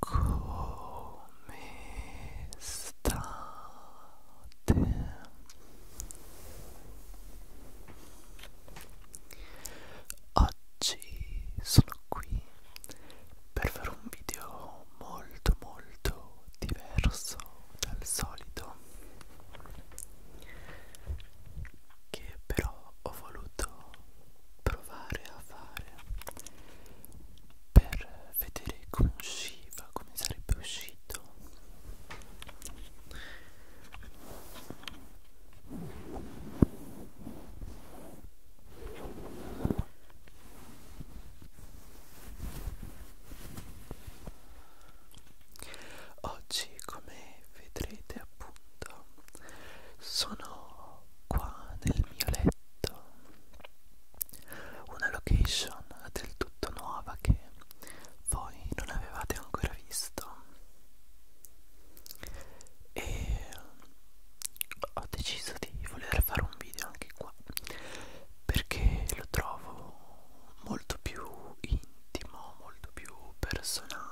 Come state? Oggi sono qui per fare un video molto molto diverso dal solito che però ho voluto provare a fare per vedere come usciva, come sarebbe uscito oggi come vedrete appunto sono qua nel mio letto detto una location del tutto nuova che voi non avevate ancora visto e ho deciso di voler fare un video anche qua perché lo trovo molto più intimo molto più personale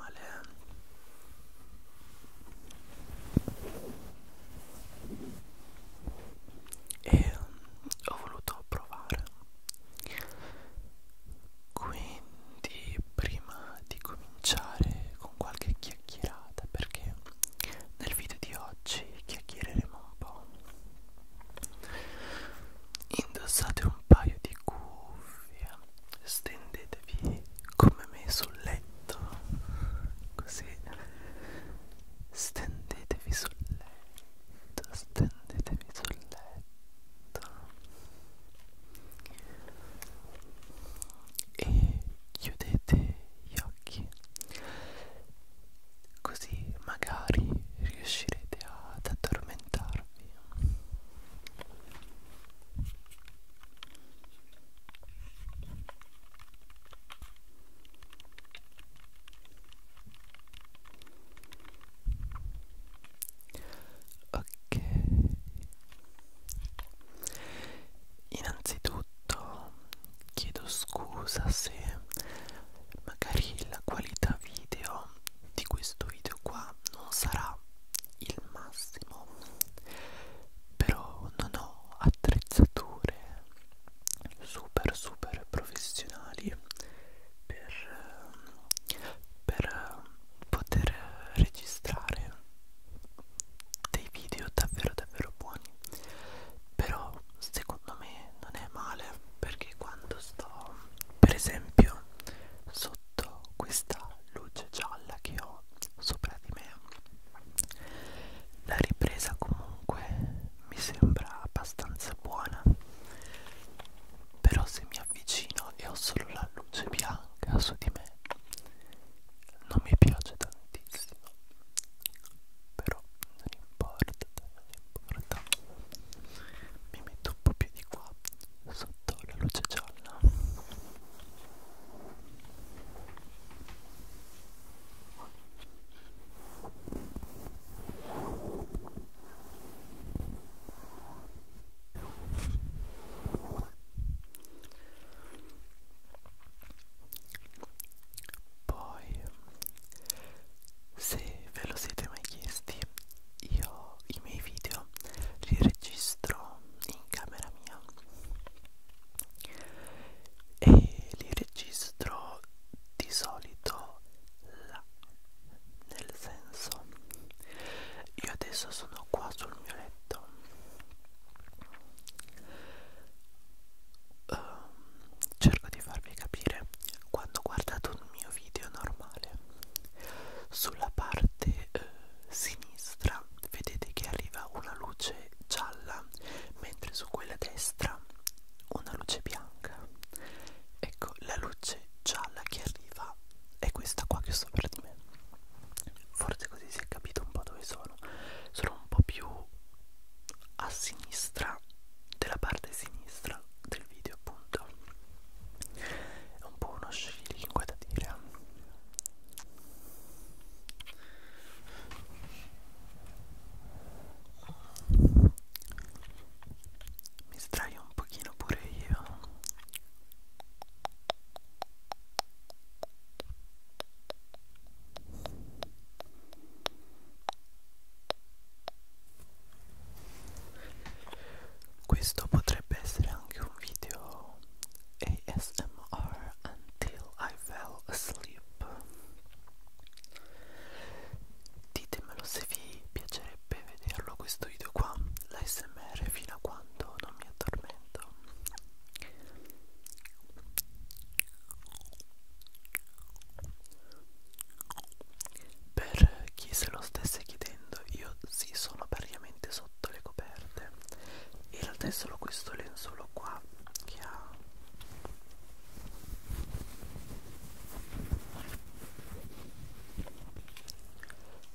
e ho voluto provare quindi prima di cominciare con qualche chiacchierata perché nel video di oggi chiacchiereremo un po' indossate un paio di cuffie stendetevi come me sul letto così Stendetevi sul letto, stendetevi sul letto e chiudete gli occhi, così magari riuscirete ad addormentarvi ok innanzitutto chiedo scusa se magari la qualità video di questo video qua non sarà il massimo però non ho attrezzature super super professionali per, per poter registrare dei video davvero davvero buoni però secondo me non è male perché quando sto per esempio sotto questa luce gialla che ho sopra di me la ripresa comunque mi sembra abbastanza buona però se mi avvicino e ho solo la luce bianca su di me non mi piace tantissimo però non importa non importa mi metto un po' più di qua sotto la luce gialla poi, se ve lo siete mai chiesti, io i miei video li registro in camera mia e li registro di solito là nel senso io adesso sono qua sul mio letto um, cerco di farvi capire quando guardate un mio video normale sulla parte eh, sinistra vedete che arriva una luce luce gialla, mentre su quella destra una luce bianca. Ecco, la luce gialla che arriva è questa qua che ho sopra di me. Forse così si è capito un po' dove sono. Sono un po' più a sinistra della parte sinistra del video, appunto. È un po' uno scilingue da dire. mi sdraio un pochino pure io questo potrebbe essere anche un video ASMR until I fell asleep clip ditemelo se vi piacerebbe vederlo questo video qua l'ASMR fino a quando non mi addormento per chi se lo stesse chiedendo io sì sono praticamente sotto le coperte in realtà è solo questo lenzuolo qua che ha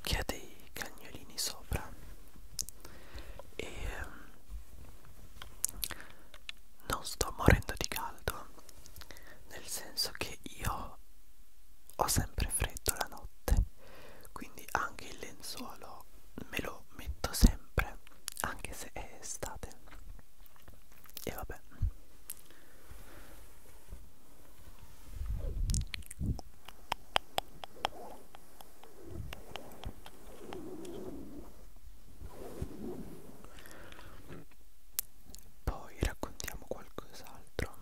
che ha dei cagnolini sopra e ehm, non sto morendo di caldo nel senso che io ho sempre freddo la notte quindi anche il lenzuolo me lo metto sempre anche se è estate e vabbè poi raccontiamo qualcos'altro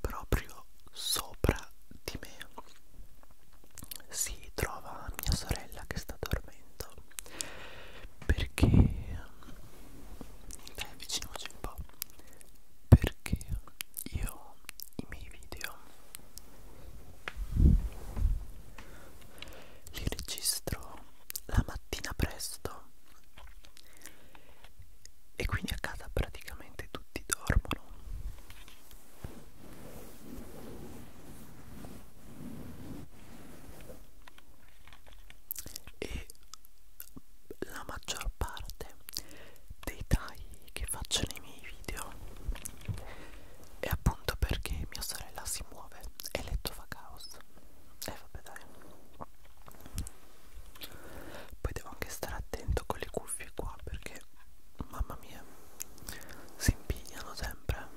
proprio sopra di me si trova mia sorella che sta dormendo perché mm, dai avviciniamoci un po' perché io i miei video li registro la mattina presto e quindi a casa praticamente tutti dormono e la maggior parte dei tagli che faccio nei miei video è appunto perché mia sorella si muove e letto fa caos e eh, vabbè dai poi devo anche stare attento con le cuffie qua perché mamma mia si impigliano sempre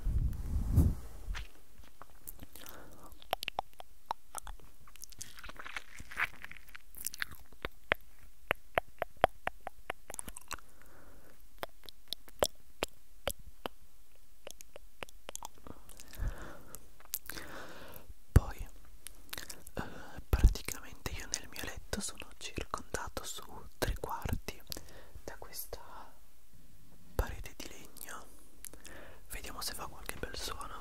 poi eh, praticamente io nel mio letto sono sono circondato su tre quarti da questa parete di legno vediamo se fa qualche bel suono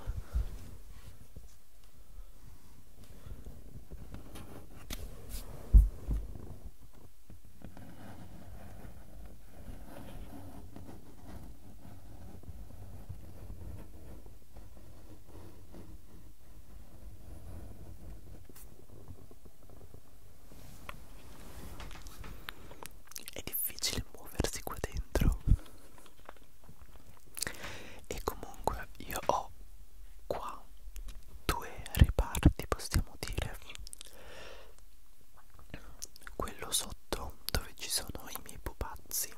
è difficile muoversi qua dentro. E comunque io ho qua due reparti, possiamo dire. Quello sotto dove ci sono i miei pupazzi.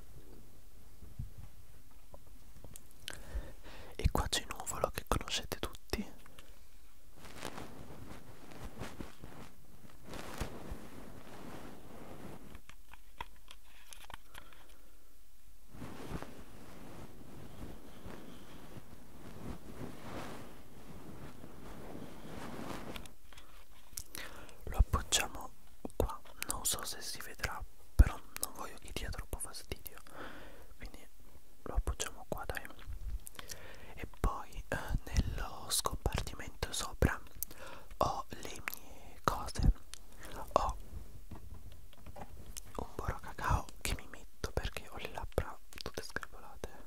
E qua c'è Nuvolo che conoscete tutti lo appoggiamo qua non so se si vedrà però non voglio che dia troppo fastidio quindi lo appoggiamo qua dai e poi eh, nello scompartimento sopra ho le mie cose ho un boro cacao che mi metto perché ho le labbra tutte scappolate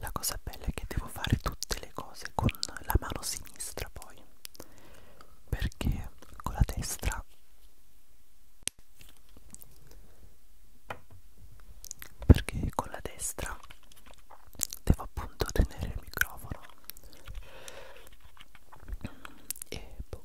la cosa bella è che devo fare tutte le cose con la mano sinistra poi perché con la destra perché con la destra devo appunto tenere il microfono e boh.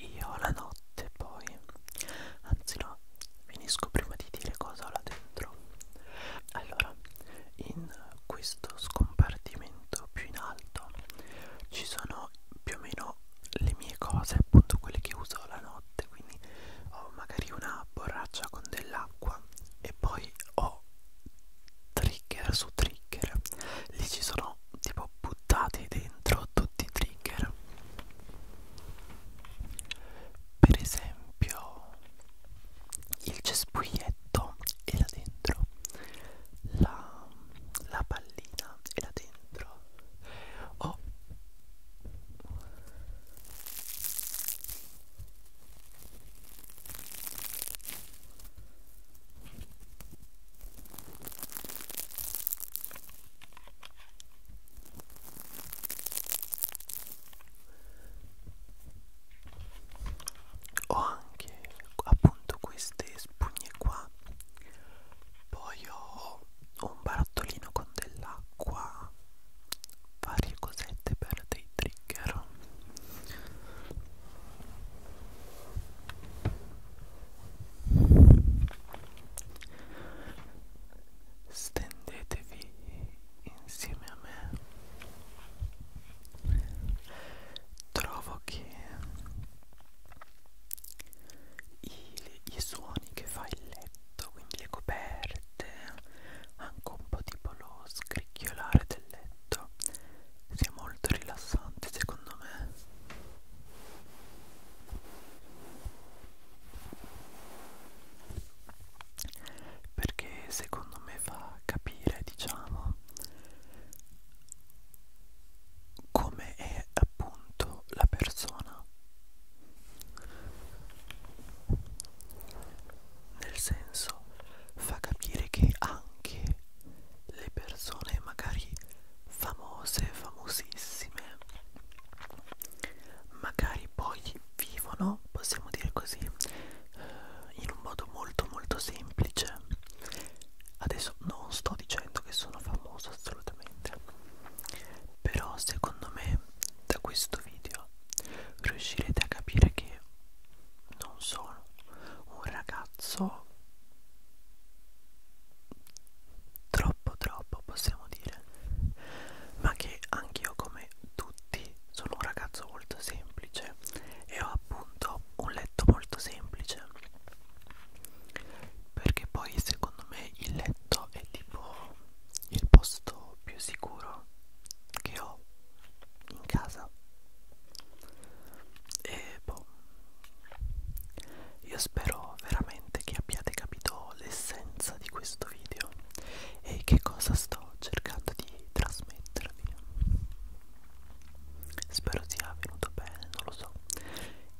Io la notte poi, anzi no, finisco prima di dire cosa ho là dentro. Allora, in questo scompartimento più in alto ci sono più o meno le mie cose, appunto quelle che uso la notte, quindi ho magari una borraccia con dell'acqua prima e poi ho trigger su trigger lì ci sono tipo buttati dentro tutti i trigger per esempio il cespuglietto era dentro la, la pallina era dentro o oh. Ho anche appunto queste spugne qua. Poi ho un barattolino con dell'acqua varie cosette per dei trigger stendetevi insieme a me trovo che i, i suoni che fa il letto letto, quindi le coperte, anche un po' tipo lo scricchiolare del letto, sia molto rilassante secondo me. Perché secondo me fa capire, diciamo, come è appunto la persona nel senso fa capire che anche le persone magari famose, famosissime, magari poi vivono, possiamo dire così, eh, in un modo molto molto semplice. Adesso non sto dicendo che sono famoso assolutamente, però secondo me da questo video riuscirete a capire che non sono un ragazzo troppo troppo possiamo dire ma che anch'io come tutti sono un ragazzo molto semplice e ho appunto un letto molto semplice perché poi secondo me il letto è tipo il posto più sicuro mia che ho in casa e boh io spero veramente che abbiate capito l'essenza di questo video e che cosa sto cercando di trasmettervi spero sia venuto bene non lo so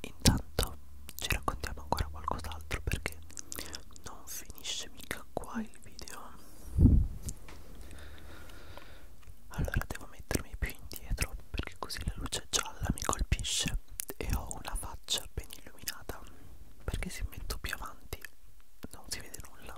intanto ci raccontiamo ancora qualcos'altro perché non finisce mica qua il il video allora devo mettermi più indietro perché così la luce gialla mi colpisce e ho una faccia ben illuminata perché se metto più avanti non si vede nulla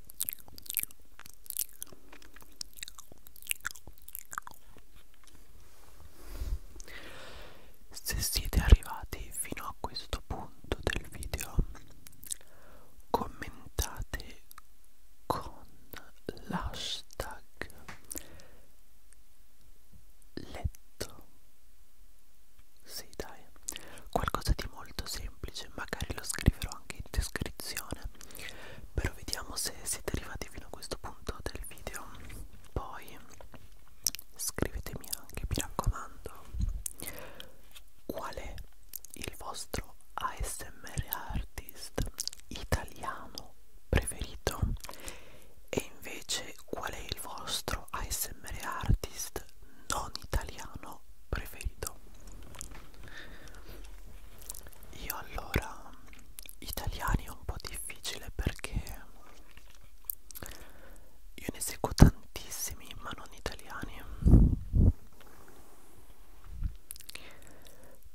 Se siete arrivati fino a questo punto del video, commentate con l'hashtag letto. Sì, dai, qualcosa di molto semplice, magari lo scriverò anche in descrizione però vediamo se siete arrivati fino a questo punto del video poi scrivetemi anche mi raccomando qual è il vostro ASMR artist italiano preferito e invece qual è il vostro ASMR artist non italiano mio preferito io allora italiani è un po' difficile perché io ne seguo tantissimi ma non italiani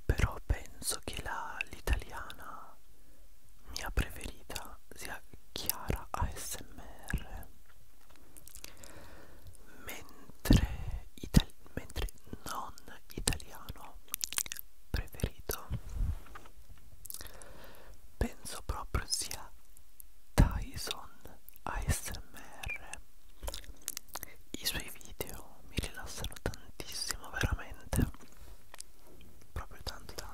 però penso che l'italiana mia preferita sia Chiara ASMR mentre, itali mentre non italiano preferito penso proprio sia Tyson ASMR i suoi video mi rilassano tantissimo veramente proprio tanto tanto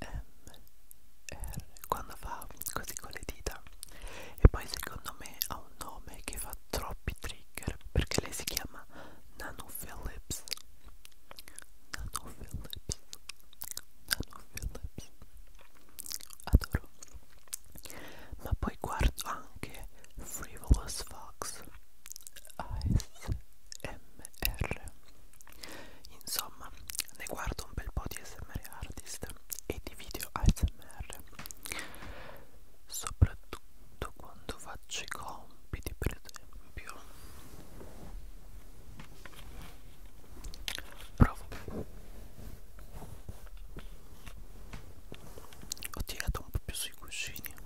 ASMR quando fa così con le dita e poi secondo me ha un nome che fa troppi trigger perché lei si chiama Nano Phillips Nano Phillips Nano Phillips adoro ma poi guardo anche Frivolous Fox ASMR Insomma, ne guardo un bel po' di SMR artist e di video ASMR, soprattutto quando faccio i compiti, per esempio. Provo. Ho tirato un po' più sui cuscini.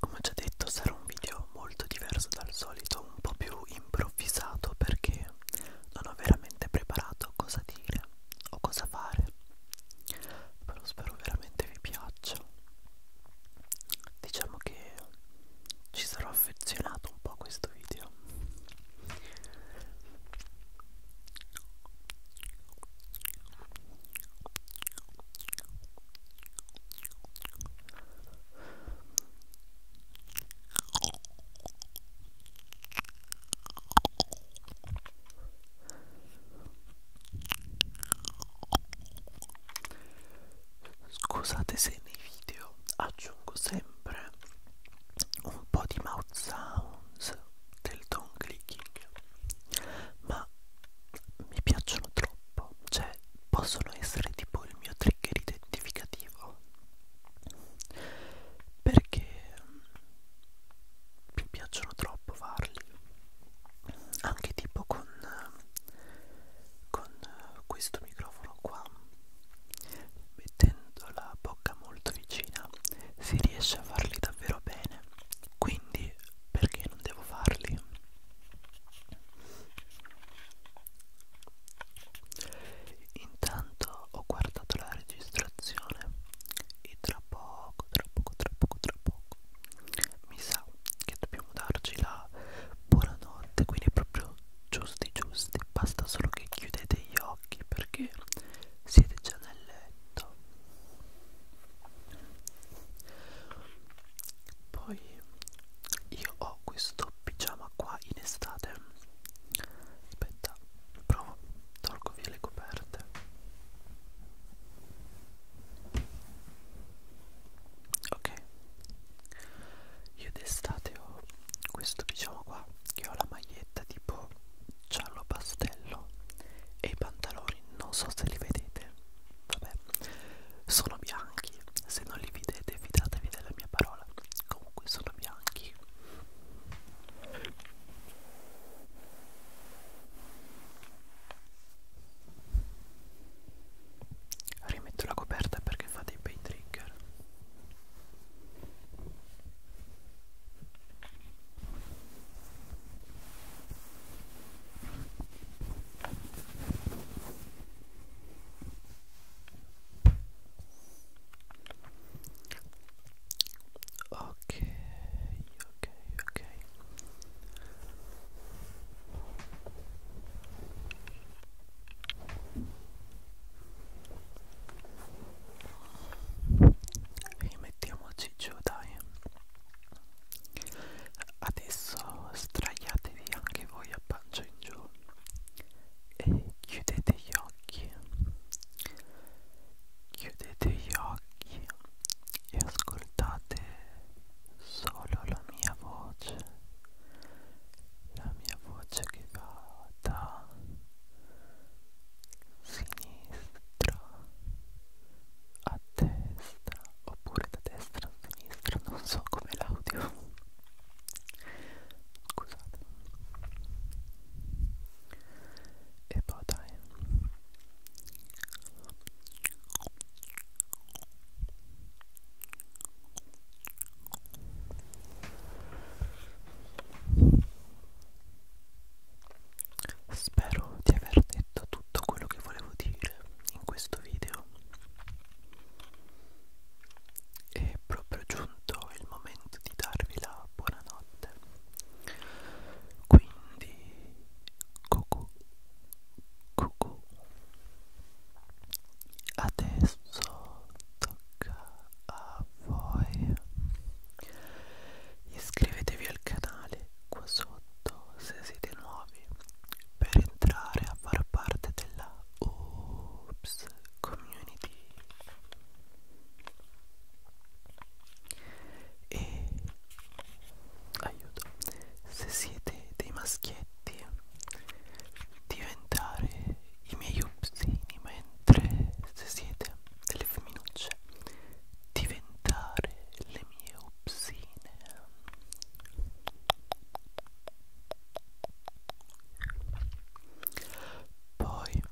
Come ho già detto sarà un video molto diverso dal solito, un po' più improvvisato perché non ho veramente preparato cosa dire o cosa fare, però spero veramente vi piaccia. Diciamo che ci sarò affezionato un po' a questo video. Scusate se nei video aggiungo sempre un po' di mouth sounds del tongue clicking, ma mi piacciono troppo, cioè possono essere tipo il mio trigger identificativo perché mm, mi piacciono troppo farli anche tipo con, con questo microfono qua mettendo la bocca molto vicina si riesce a farli davvero bene quindi perché non devo farli Intanto ho guardato la registrazione e tra poco, tra poco, tra poco, tra poco mi sa che dobbiamo darci la buonanotte, quindi proprio giusti giusti, basta solo che chiudete gli occhi perché siete già nel letto. Poi io ho questo pigiama qua in estate aspetta provo tolgo via le coperte ok io d'estate ho questo pigiama qua che ho la maglietta tipo giallo pastello e i pantaloni non so se li vedete vabbè sono bianchi se non li vedete fidatevi della mia parola comunque sono bianchi rimetto la coperta perché fa dei bei trigger ok ok ok e mettiamoci giù dai adesso straiatevi anche voi a pancia in giù e chiudete gli occhi chiudete gli occhi e ascoltate solo la mia voce la mia voce che va da sinistra a destra oppure da destra a sinistra non so come l'audio Scusate. E poi dai. Spero di aver detto tutto quello che volevo dire in questo video. E proprio giù giunto il momento di darvi la buonanotte. Quindi, cucù, cucù. Adesso tocca a voi. Iscrivetevi al canale qua sotto se siete nuovi per entrare a far parte della Oops Community e aiuto se siete dei maschietti diventare i miei upsini mentre se siete delle femminucce diventare le mie upsine poi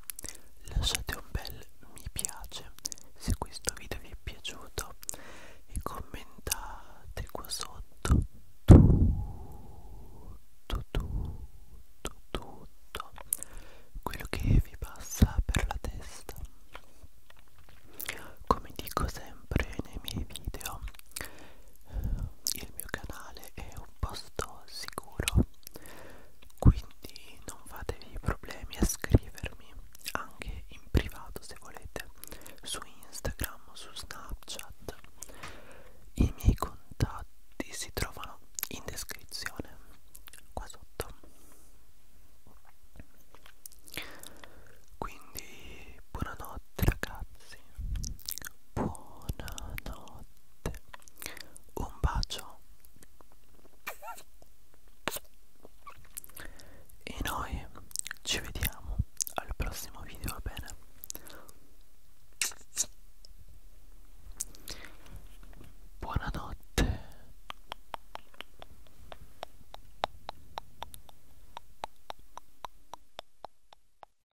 lasciate un bel mi piace se questo video vi è piaciuto e commentate qua sotto tutto, tutto, tutto quello che vi passa per la testa. Come dico sempre nei miei video, il mio canale è un posto sicuro quindi non fatevi problemi a scrivermi anche in privato se volete su Instagram su Snapchat i miei contatti si trovano in descrizione qua sotto quindi buonanotte ragazzi buonanotte notte. Un bacio. E noi ci vediamo al prossimo video, va bene? Buonanotte.